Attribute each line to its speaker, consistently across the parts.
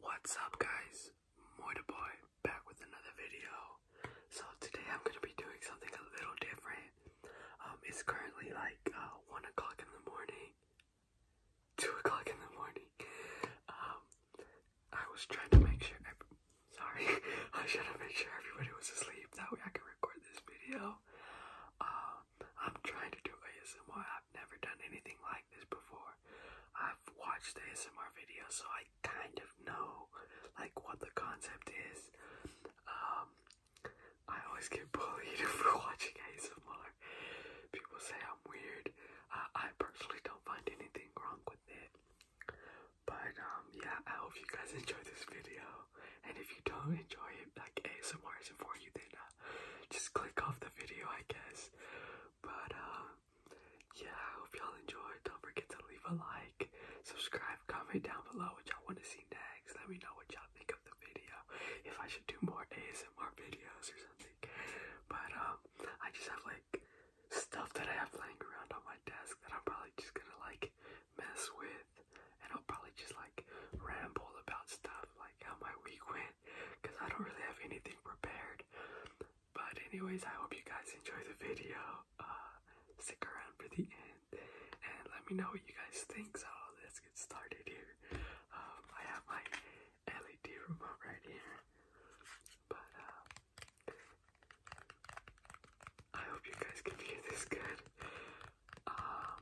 Speaker 1: What's up guys? Moita Boy back with another video. So today I'm gonna be doing something a little different. Um, it's currently like uh, one o'clock in the morning. Two o'clock in the morning. Um, I was trying to make sure. Sorry, I was trying to sure everybody was asleep. That way I could record this video. Uh, I'm trying to do ASMR. I've never done anything like this before. I've watched the ASMR video, so I kind of know like what the concept is. Um, I always get bullied for watching ASMR. People say I'm weird. I personally don't find anything wrong with it. But um yeah, I hope you guys enjoy this video. And if you don't enjoy it, like ASMR isn't for you, then uh, just click off the video, I guess. But um yeah, I hope y'all enjoyed. Don't forget to leave a like, subscribe, comment down below what y'all want to see next. Let me know what y'all think of the video. If I should do more ASMR videos or something. But um I just have like stuff that I have laying around on my desk that I'm probably just gonna like mess with, and I'll probably just like ramble about stuff like how my week went because I don't really have anything prepared. But, anyways, I hope you guys enjoy the video. Uh, stick around for the end and let me know what you guys think. So, let's get started here. Um, I have my LED remote right here, but uh, I hope you guys can hear this good. Um,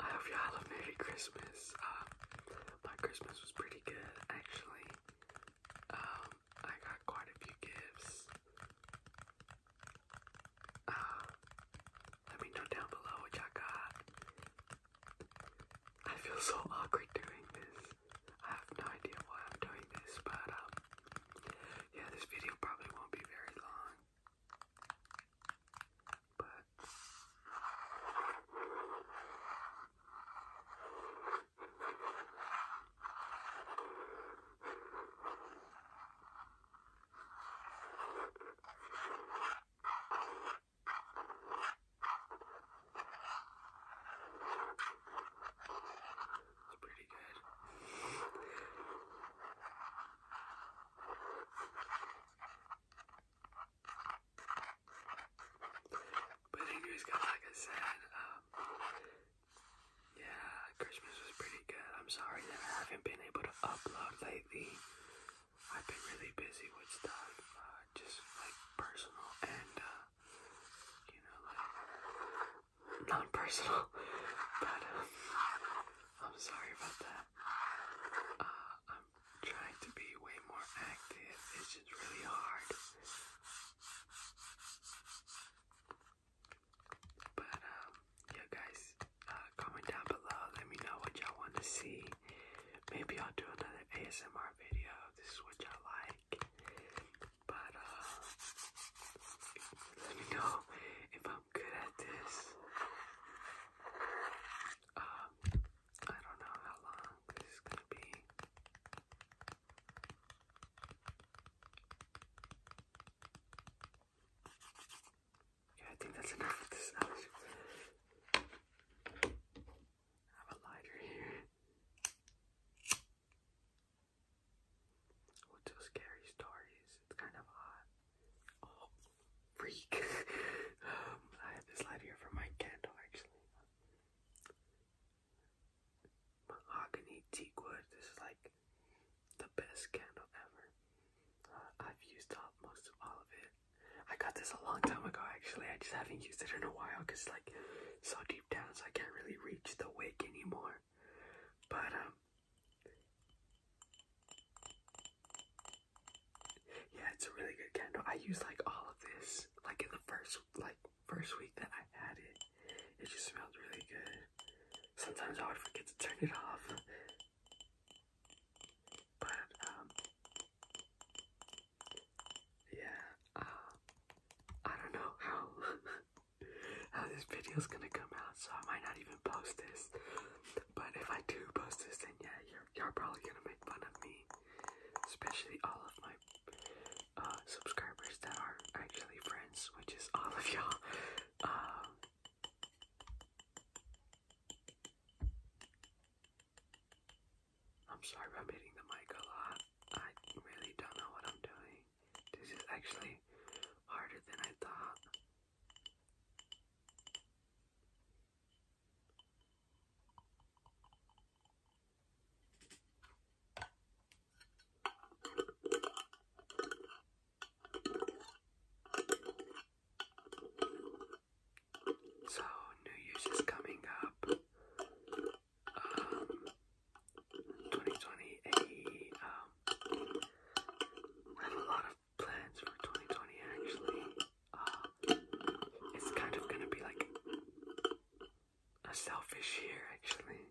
Speaker 1: I hope y'all a Merry Christmas. Um, my Christmas was pretty good, actually. Um, I got quite a few gifts. Uh, let me know down below what you got. I feel so awkward doing this. I have no idea why I'm doing this, but um, yeah, this video probably won't be very long. But it's pretty good. But anyways, guys, like I said, um, yeah, Christmas was pretty good. I'm sorry that I haven't been able to upload lately. I've been really busy with stuff, uh, just like personal and uh, you know, like non personal. But um, I'm sorry about that. Uh, I'm trying to be way more active, it's just really hard. But um, yeah, guys, comment down below. Let me know what y'all want to see. Maybe I'll do another ASMR video. This is what y'all like. But let uh, me know if I'm good at this. Um I don't know how long this is gonna be. Yeah, that's enough of this I have a lighter here. What's a scary story it's kind of hot. Oh, freak. Um, I have this lighter here for my candle actually. Mahogany teak wood. This is like the best candle ever. Uh, I've used up most of all of it. I got this a long time ago actually. I just haven't used it in a while because like so deep down so I can't really reach the wick anymore. But um yeah, it's a really good candle. I used like all of this like in the first like first week that I had it. It just smelled really good. Sometimes I would forget to turn it off but um yeah, uh I don't know how how this video's gonna come out, so I might not even post this. But if I do post this then yeah, you're you're probably gonna make fun of me. Especially all of my uh subscribers that are actually friends, which is all of y'all. Um I'm sorry if I'm hitting the mic a lot. I really don't know what I'm doing. This is actually harder than I thought. So, New Year's is coming up. Um, 2020, um, I have a lot of plans for 2020 actually. Uh, it's kind of gonna be like a selfish year actually.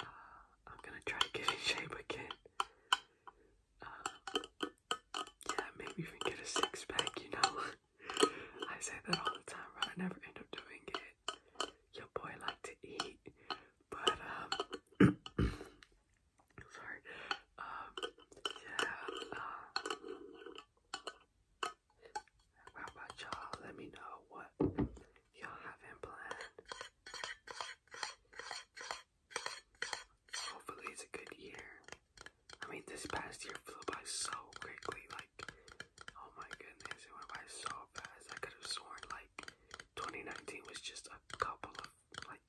Speaker 1: Uh, I'm gonna try to get in shape again. Uh, yeah, maybe even get a six pack, you know. I say that all the time, right? I never end up doing it. Your boy like to eat, but um sorry. Um yeah, uh, how about y'all? Let me know what y'all have in plan. Hopefully, it's a good year. I mean, this past year flew by so quickly. Like, oh my goodness, it went by so fast. I could have sworn like 2019 was just a couple of like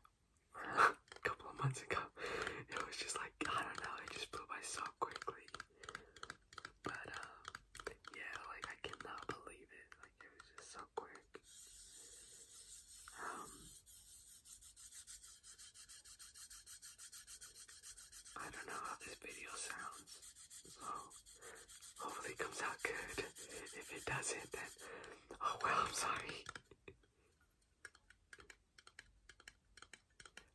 Speaker 1: couple of months ago. It was just like I don't know. It just flew by so quickly. But um, yeah, like I cannot believe it. Like it was just so quick. Um, I don't know how this video sounds, hopefully it comes out good. If it doesn't, then oh well, I'm sorry.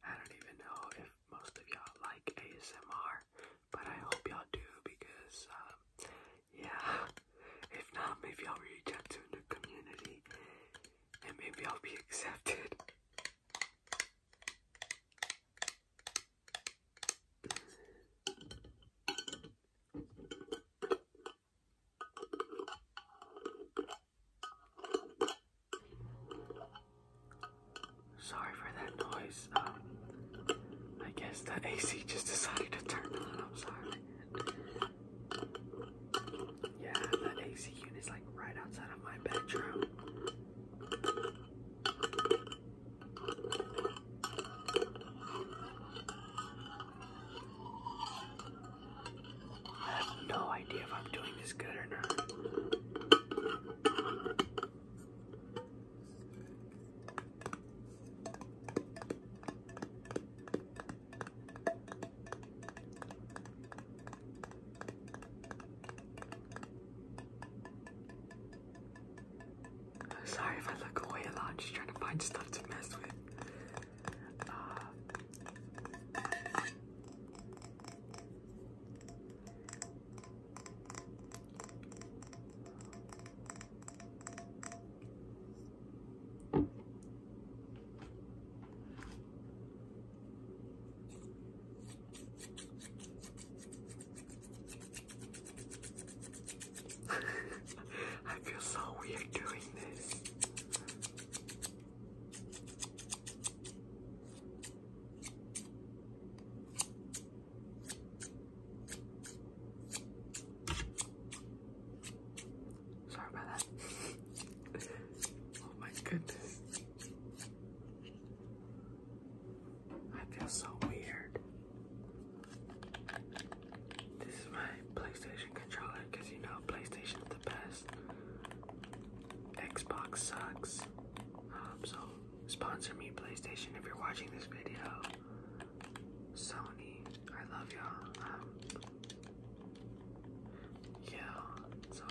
Speaker 1: I don't even know if most of y'all like ASMR, but I hope y'all do because um, yeah. If not, maybe I'll reach out to a community and maybe I'll be accepted. Sorry for that noise. Um, I guess the AC just decided to turn on. I'm sorry. Yeah, that AC unit is like right outside of my bedroom. I have no idea if I'm doing this good or not. Sorry if I look away a lot, just trying to find stuff to mess with. Uh, I feel so weird doing this. Sorry about that. oh my goodness. I feel so weird. This is my PlayStation controller because you know PlayStation is the best. Xbox sucks. Um, so sponsor me PlayStation if you're watching this video. Sony, I love y'all. Um, yeah, so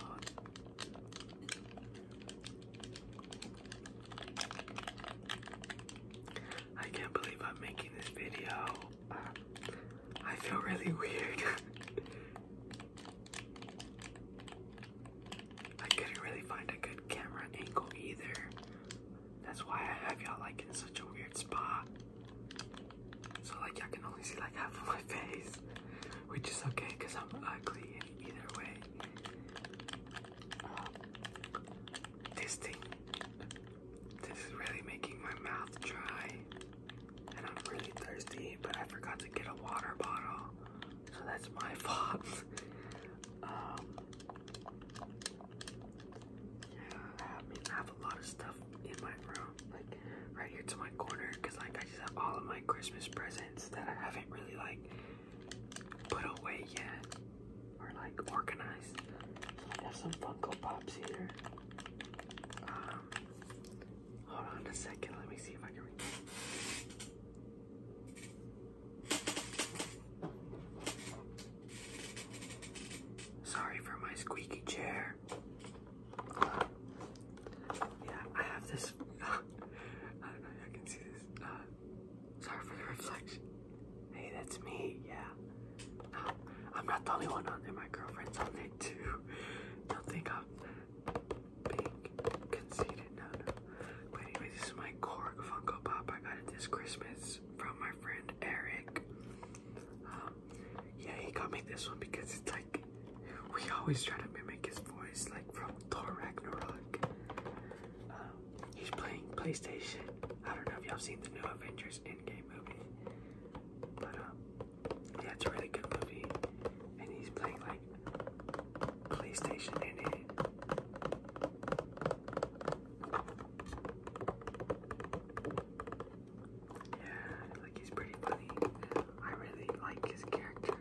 Speaker 1: I can't believe I'm making this video. I feel really weird. I couldn't really find a good camera angle either. That's why I have y'all like in such a weird spot. So like y'all can only see like half of my face. Which is okay because I'm ugly either way. Um, this thing, this is really making my mouth dry. And I'm really thirsty, but I forgot to get a water bottle. So that's my fault. Um, I have a lot of stuff in my room, like right here to my corner, because like I just have all of my Christmas presents that I haven't really like put away yet or like organized. So I have some Funko Pops here. Um, hold on a second, let me see if I can read Sorry for my squeaky chair. yeah, I have this. I don't know if I can see this. Uh, sorry for the reflection. Hey, that's me. Yeah. I'm not the only one on there. My girlfriend's on there too. Don't think I'm being conceited. No, no. But anyway, this is my Korg Funko Pop. I got it this Christmas from my friend Eric. Uh, yeah, he got me this one because it's like we always try to mimic his voice, like from Thor Ragnarok. Uh, he's playing PlayStation. I don't know if y'all seen the new Avengers Endgame movie, but uh, yeah, it's a really good movie, and he's playing like PlayStation in it. Yeah, like he's pretty funny. I really like his character.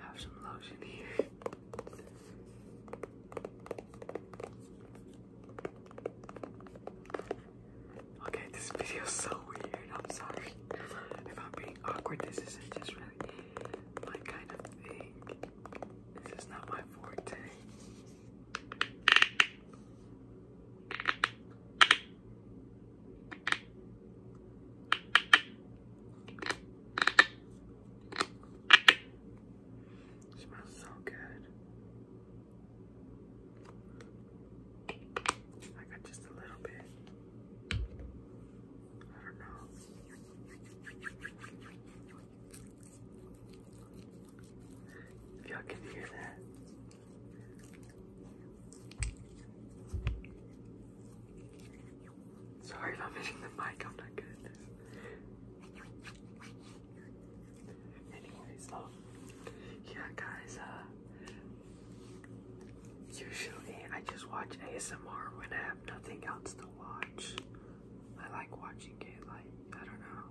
Speaker 1: Have some lotion here. Okay, this video is so weird. I'm sorry if I'm being awkward. This isn't just really my kind of thing. This is not my forte. smells so good. I got just a little bit. I don't know. If y'all can hear that. Sorry I'm hitting the mic, I'm not good Anyways, oh, yeah guys, uh, Usually, I just watch ASMR when I have nothing else to watch. I like watching it, like, I don't know,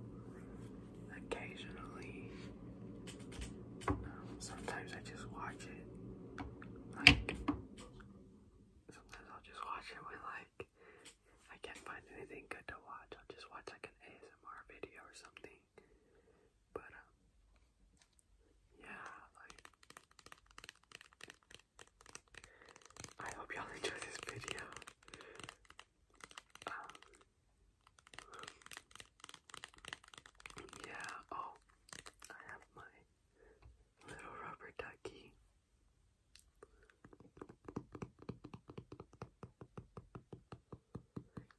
Speaker 1: occasionally. sometimes I just watch it. Like, sometimes I'll just watch it when, like, I can't find anything good to watch. I'll just watch, like, an ASMR video or something. But, um, yeah, like I hope y'all enjoy this video. Um, yeah, oh, I have my little rubber ducky.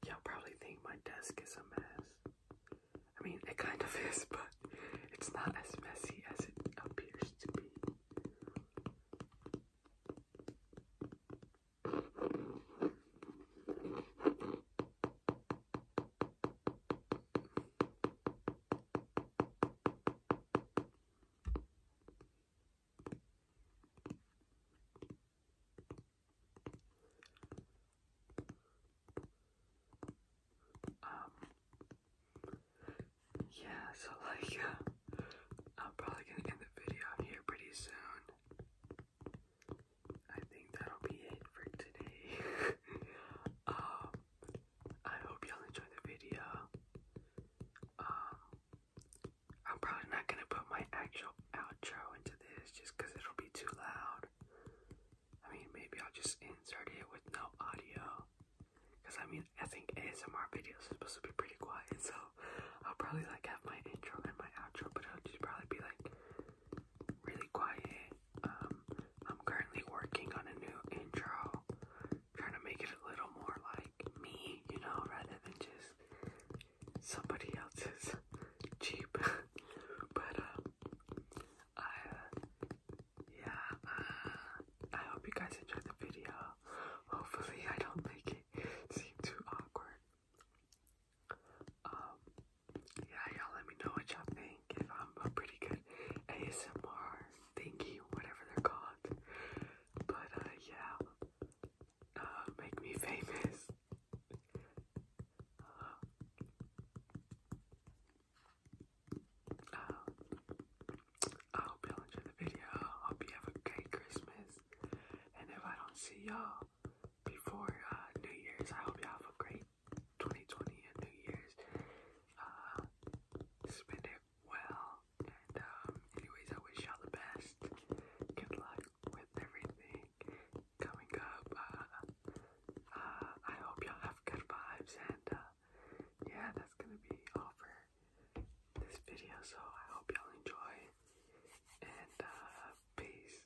Speaker 1: Y'all probably think my desk is a mess. I mean, it kind of is, but it's not as messy as it appears to be. Um, yeah, so like, I'm probably gonna end the video here pretty soon. I think that'll be it for today. um, I hope y'all enjoyed the video. Um, I'm probably not gonna put my actual outro into to just because it'll be too loud. I mean, maybe I'll just insert it with no audio. Because I mean, I think ASMR videos are supposed to be pretty quiet, so I'll probably like have my intro and my outro, but it'll just probably be like really quiet. Um, I'm currently working on a new intro, trying to make it a little more like me, you know, rather than just somebody else's cheap, but um, I uh, yeah, uh, I hope you guys enjoyed the video. Hopefully, I don't make it seem too awkward. Um, yeah, y'all let me know what y'all think. If I'm a pretty good ASMR thingy, whatever they're called, but uh, yeah, uh, make me famous. I hope y'all the video. hope you have a great Christmas. And if I don't see y'all before uh, New Year's, I hope y'all have a great 2020 and New Year's. Uh, spend it well. And um, anyways, I wish y'all the best. Good luck with everything coming up. Uh, uh, I hope y'all have good vibes, and uh, yeah, that's gonna be all this video. So I hope y'all enjoy, and uh, peace.